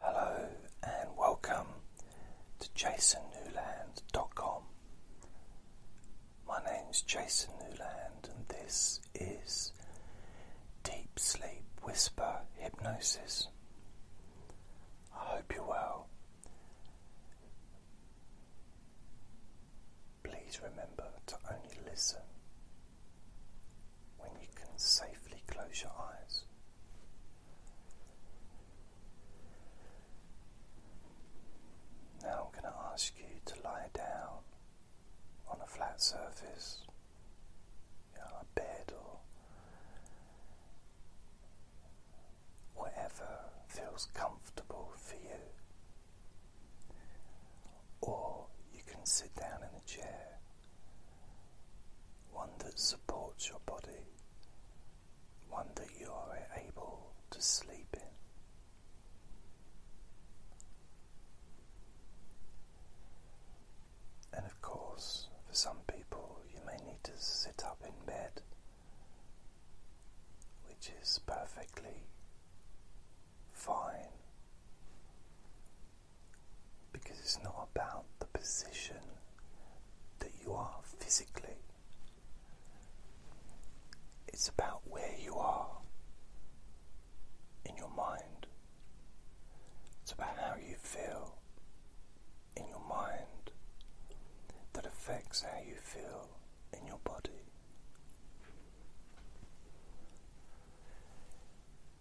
Hello and welcome to jasonnewland.com. My name's Jason Newland and this is Deep Sleep Whisper Hypnosis. I hope you're well. Please remember to only listen when you can safely close your eyes. Now I'm going to ask you to lie down on a flat surface, a bed or whatever feels comfortable for you. Or you can sit down in a chair one that supports your body, one that you are able to sleep in. And of course, for some people, you may need to sit up in bed, which is perfectly fine because it's not about the position that you are physically, it's about where you are in your mind, it's about how you feel in your mind that affects how you feel in your body.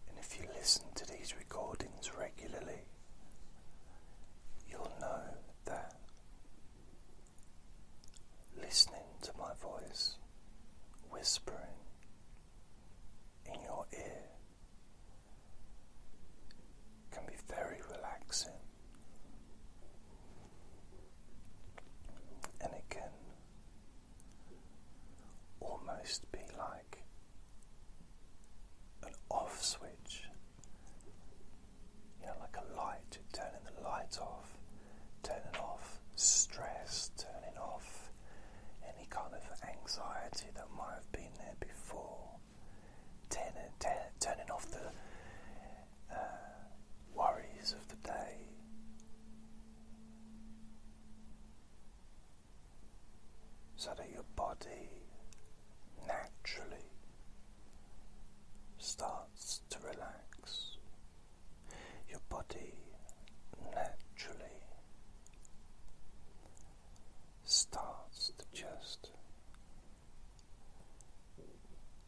And if you listen to these recordings regularly, you'll know that listening to my voice, whispering in your ear, can be very relaxing and it can almost be like an off switch. You know, like a light, turning the light off, turning off stress, turning off any kind of anxiety that might have been there before, turning, turning off the uh, worries of the day so that your body naturally starts to relax. Your body naturally starts to just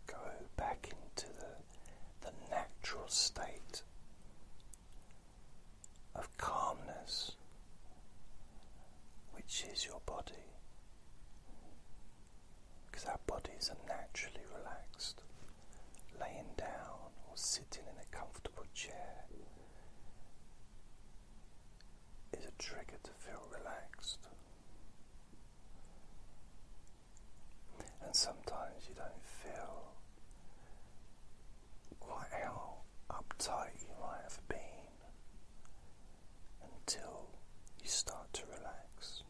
go back into the, the natural state of calmness, which is your body, because our bodies are naturally relaxed, laying down or sitting in a comfortable chair. Is a trigger to feel relaxed, and sometimes you don't feel quite how uptight you might have been until you start to relax.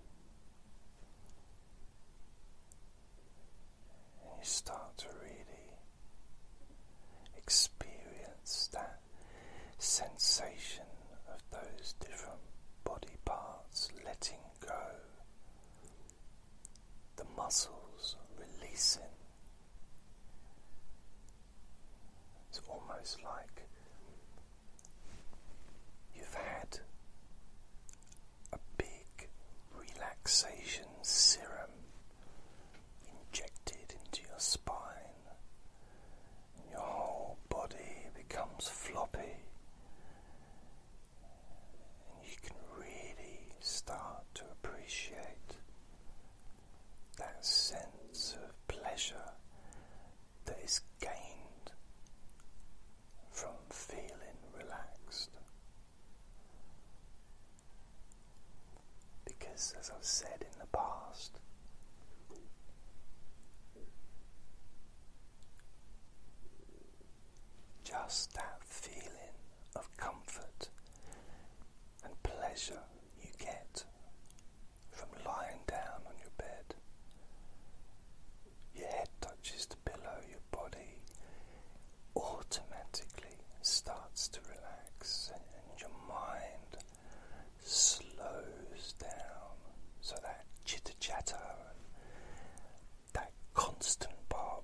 And you start to really experience that sensation of those different body parts letting go, the muscles releasing, it's almost like you've had a big relaxation serum injected into your spine, and your whole body becomes floppy, and you can really start to appreciate that sense of pleasure that is gained from feeling relaxed. Because, as I've said in the past, just that feeling of comfort and pleasure you get from lying down on your bed. Your head touches the pillow, your body automatically starts to relax, and, your mind slows down. So that chitter chatter and that constant bar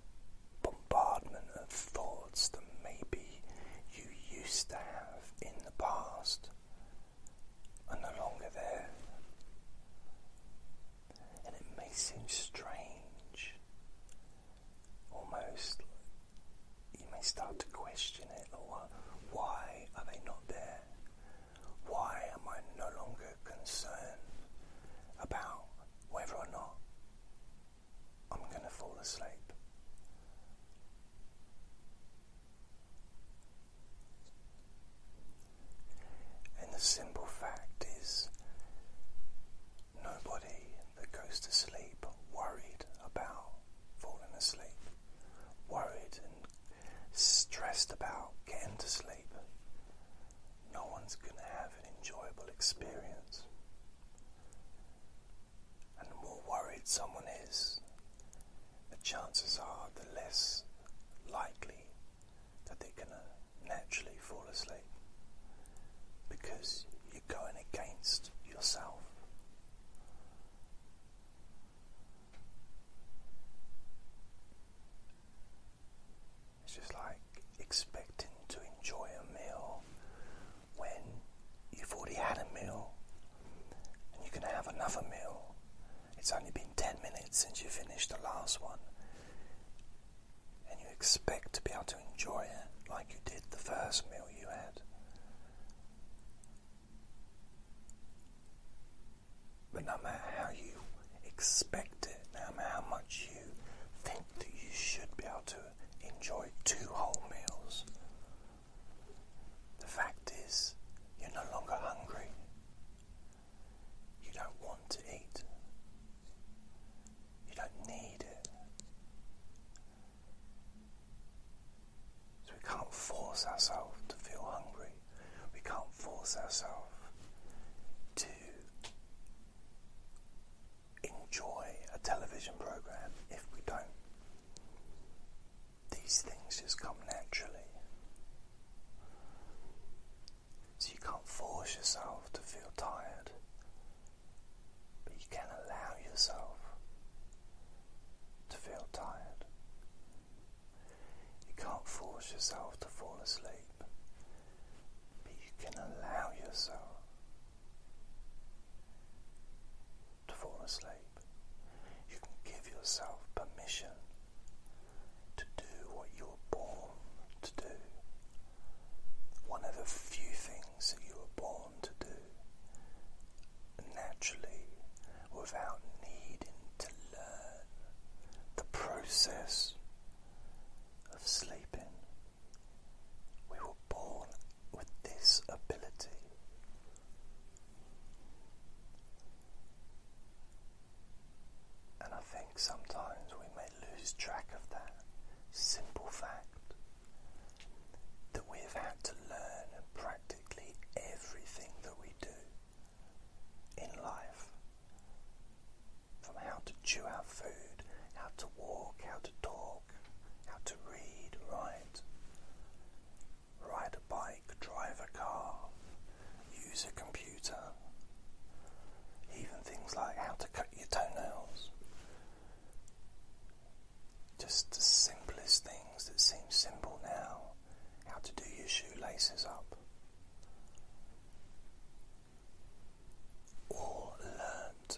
bombardment of thoughts that maybe you used to have in the past are no longer there. And it may seem strange, almost. You may start to question it or why are they not there? Why am I no longer concerned about whether or not I'm going to fall asleep. And the simple fact is, nobody that goes to sleep worried about falling asleep, worried and stressed about getting to sleep, no one's going to have an enjoyable experience and the more worried someone is, the chances are the less likely that they're going to naturally fall asleep because you're going against yourself. It's just like expecting to enjoy a meal when you've already had a meal and you can have another meal. It's only been 10 minutes since you finished the last one, and you expect to be able to enjoy it like you did the first meal you had. But no matter how you expect it, no matter how much you think that you should be able to enjoy two whole meals, the fact is, you're no longer hungry. You don't want to eat. You don't need it. So we can't force ourselves to feel hungry. We can't force ourselves to enjoy a television program if we don't. These things just come naturally. So you can't force yourself to feel tired, but you can allow yourself to feel tired. You can't force yourself to fall asleep, but you can allow yourself to fall asleep. You can give yourself permission to do what you were born to do. One of the few things that you were born to do naturally without needing to learn the process of sleeping. We were born with this ability. And I think sometimes we may lose track of that simple fact that we have had to learn practically everything that we do in life from how to chew our food, how to walk, how to talk how to read, write, ride a bike, drive a car, use a computer, even things like how to cut your toenails. Just the simplest things that seem simple now, how to do your shoelaces up. All learned.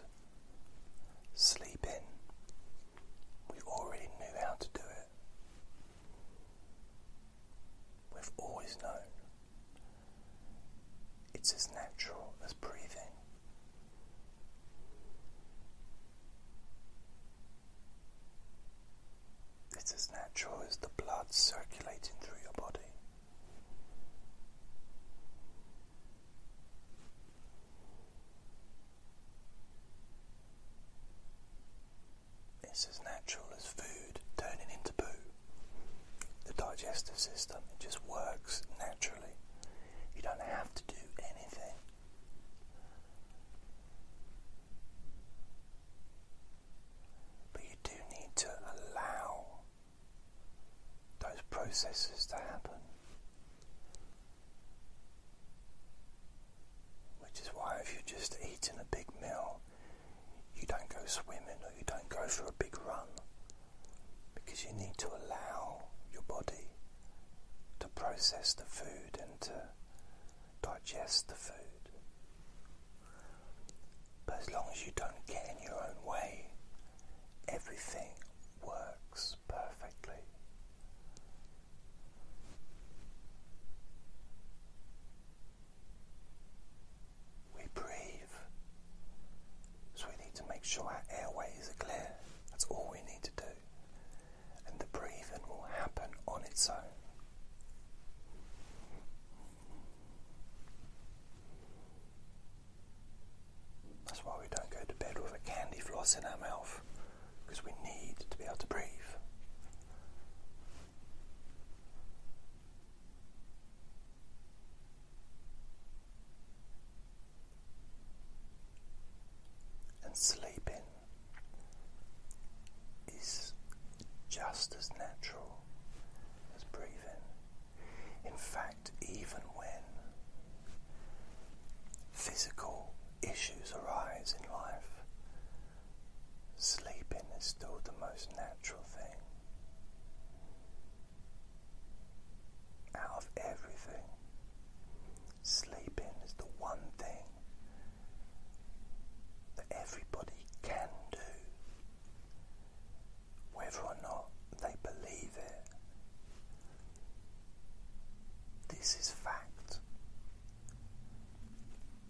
Sleep in. We already knew how to do it. We've always known. It's as natural as breathing. It's as natural as the blood circulating through your body. It's as natural as food turning into poo. The digestive system it just works naturally. You don't have to do anything. But you do need to allow those processes to happen. Which is why if you are just eating a big meal, you don't go swimming or you don't go for a big run because you need to allow your body to process the food and to digest the food. But as long as you don't get in your own way, everything works perfectly. We breathe, so we need to make sure our airways are clear. That's all we need to do, and the breathing will happen on its own. That's why we don't go to bed with a candy floss in our mouth, because we need to be able to breathe. And sleeping is just as natural as breathing. In fact, even when physical issues arise in life, sleeping is still the most natural thing. Out of everything, sleeping is the one thing that everybody can do, whether or not they believe it. This is fact.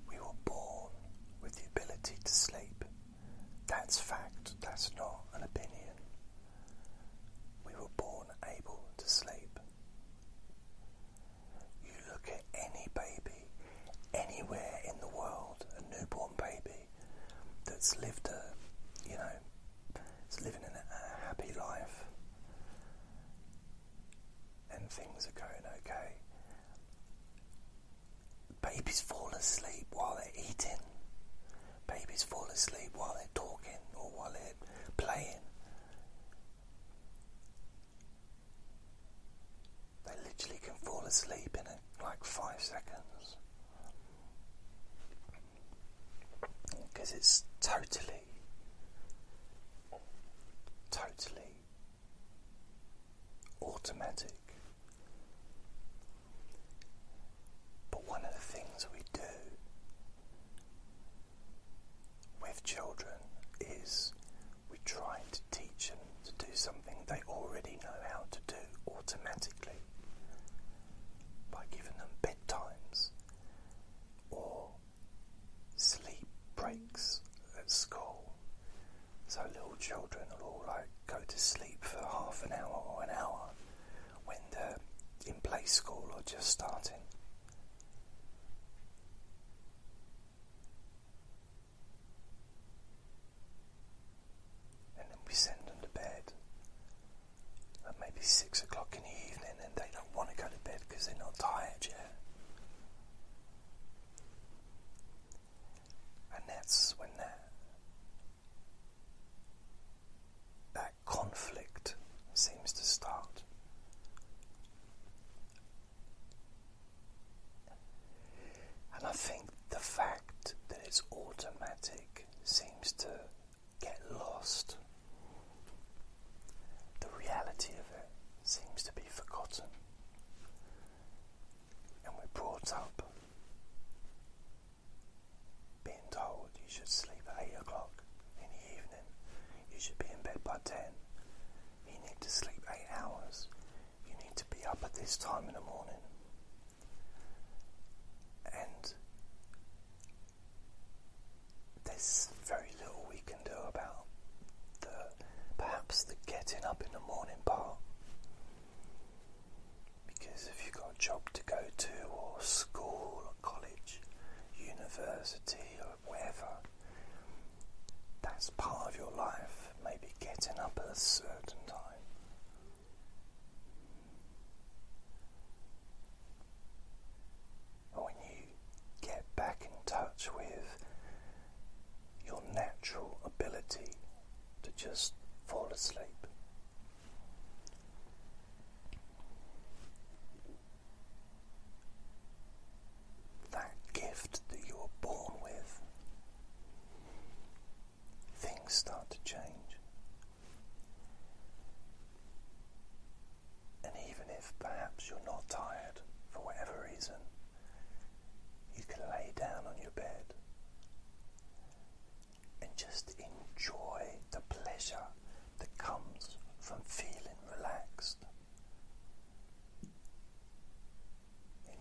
We were born with the ability to sleep. That's fact, that's not an opinion. We were born able to sleep. You look at any baby anywhere in the world, a newborn baby that's lived a, you know, it's living in a happy life and things are going okay. Babies fall asleep while they're eating. Babies fall asleep while they're talking or while they're playing. They literally can fall asleep in like five seconds because it's totally, totally automatic. But one of the things we do with children is we try to teach them to do something they already know how to do automatically by giving them bedtimes or sleep breaks at school. So little children will all like go to sleep for half an hour or an hour when they're in play school or just starting. And then we send them to bed at maybe six o'clock in the evening and they don't want to go to bed because they're not tired yet. And that's when that, that conflict seems to start. And I think the fact that it's automatic seems to get lost. The reality of it seems to be forgotten, and we're brought up being told you should sleep at 8 o'clock in the evening, you should be in bed by 10, you need to sleep 8 hours, you need to be up at this time in the morning. And there's very little we can do about the perhaps the getting up in the morning part. Because if you've got a job to go to, or school, or college, university, or wherever, that's part of your life, maybe getting up at a certain time when you get back in touch with your natural ability to just fall asleep. That gift that you were born with, things start to change. And even if perhaps you're not tired for whatever reason, you can lay down on your bed and just enjoy the pleasure that comes from feeling relaxed.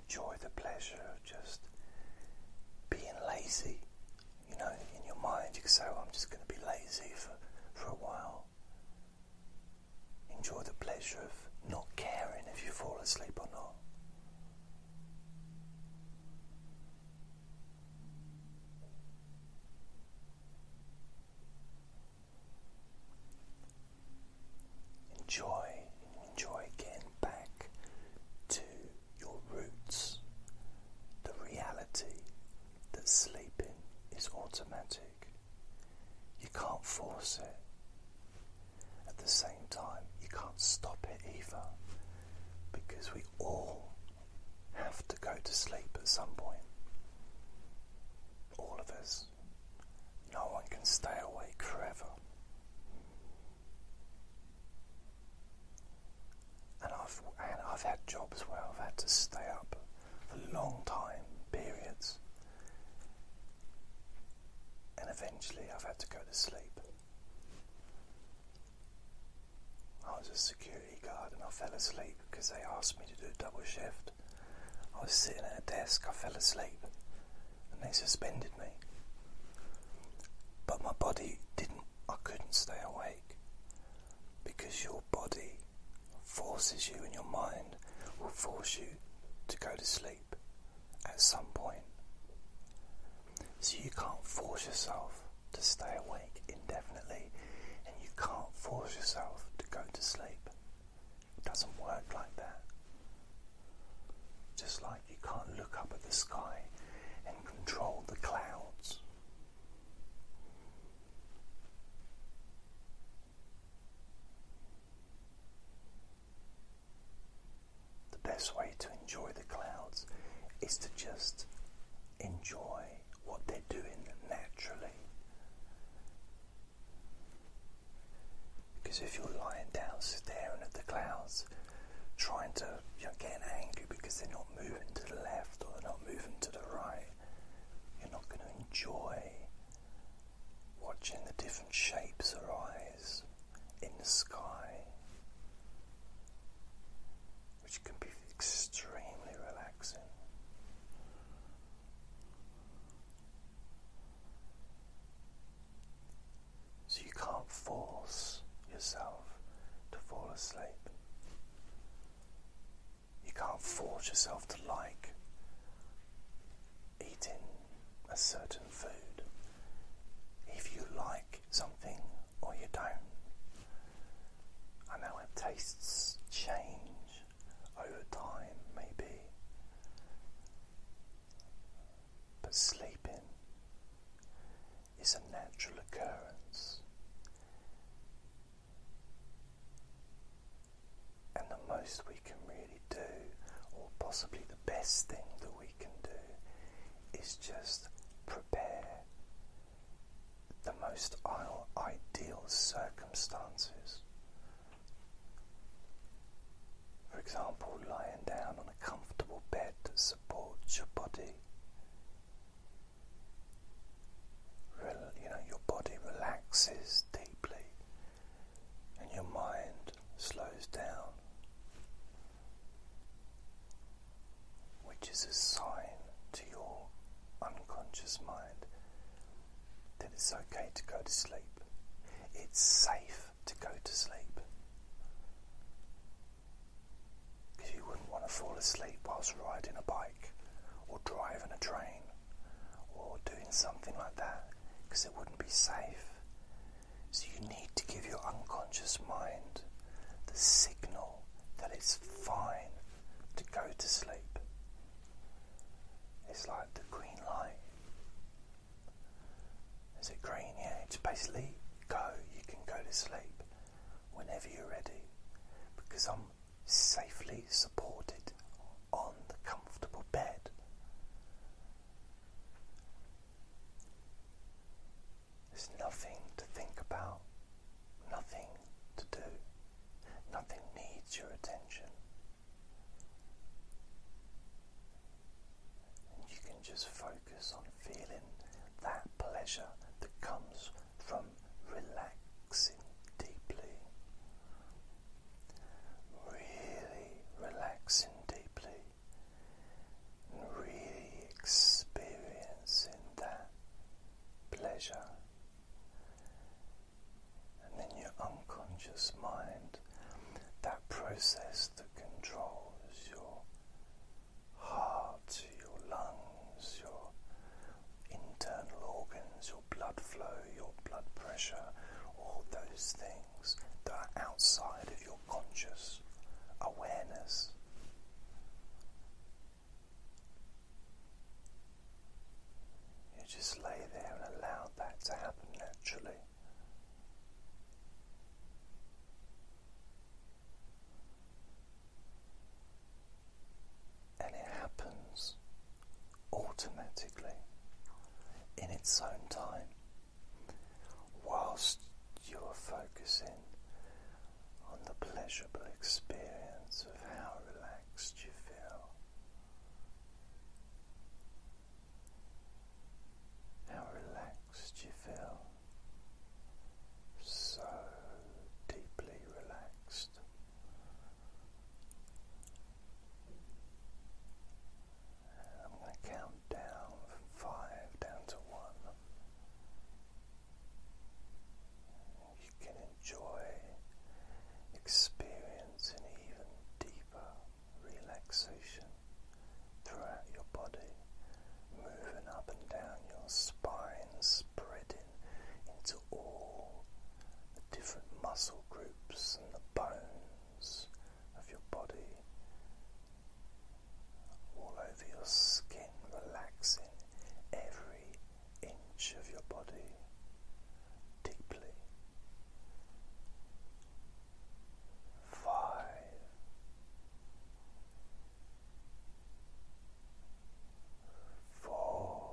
Enjoy the pleasure of just being lazy. You know, in your mind, you can say, oh, I'm just going to be lazy for, for a while. Enjoy the pleasure of not caring if you fall asleep or not. Enjoy, enjoy getting back to your roots, the reality that sleeping is automatic. You can't force it. At the same time, you can't stop it either because we all have to go to sleep at some point. All of us. No one can stay awake forever. And I've, and I've had jobs where I've had to stay up for long time periods. And eventually I've had to go to sleep. I was a security guard and I fell asleep because they asked me to do a double shift. I was sitting at a desk, I fell asleep, and they suspended me. But my body didn't, I couldn't stay awake because your body forces you in your mind will force you to go to sleep at some point. So you can't force yourself to stay awake indefinitely and you can't force yourself to go to sleep. It doesn't work like that. Just like you can't look up at the sky and control the clouds. The best way to enjoy the clouds is to just enjoy what they're doing naturally. Because if you're lying down staring at the clouds, trying to, you're getting angry because they're not moving to the left or they're not moving to the right, you're not going to enjoy watching the different shapes arise in the sky, which can be extremely relaxing. So you can't force yourself to fall asleep you can't force yourself to like eating a certain food. If you like something or you don't, I know our tastes change over time, maybe, but sleeping is a natural occurrence. And the most we can really do, or possibly the best thing that we can do, is just prepare the most ideal circumstances. For example, lying down on a comfortable bed that supports your body, you know, your body relaxes deeply and your mind slows down, which is a sign to your unconscious mind that it's okay to go to sleep. It's safe to go to sleep. Because you wouldn't want to fall asleep whilst riding a bike or driving a train or doing something like that because it wouldn't be safe. So, you need to give your unconscious mind the signal that it's fine to go to sleep. It's like the green light. Is it green? Yeah, it's basically go, you can go to sleep whenever you're ready because I'm safely supported on the comfortable bed. There's nothing to think about, nothing to do, nothing needs your attention. And you can just focus on feeling that pleasure that comes from relaxing deeply, really relaxing deeply, and really experiencing that pleasure. And then your unconscious mind, that process that controls your heart, your lungs, your internal organs, your blood flow, your blood pressure, all those things that are outside of your conscious awareness. You just lay there and allow that to happen naturally and it happens automatically in its own time whilst you are focusing on the pleasurable experience of how relaxed you feel. How relaxed you feel. So deeply relaxed. And I'm going to count down five down to one. You can enjoy experience even deeper relaxation throughout your body, moving up and down your spine, spreading into all the different muscle groups and the bones of your body, all over your skin, relaxing every inch of your body deeply. Five. Four,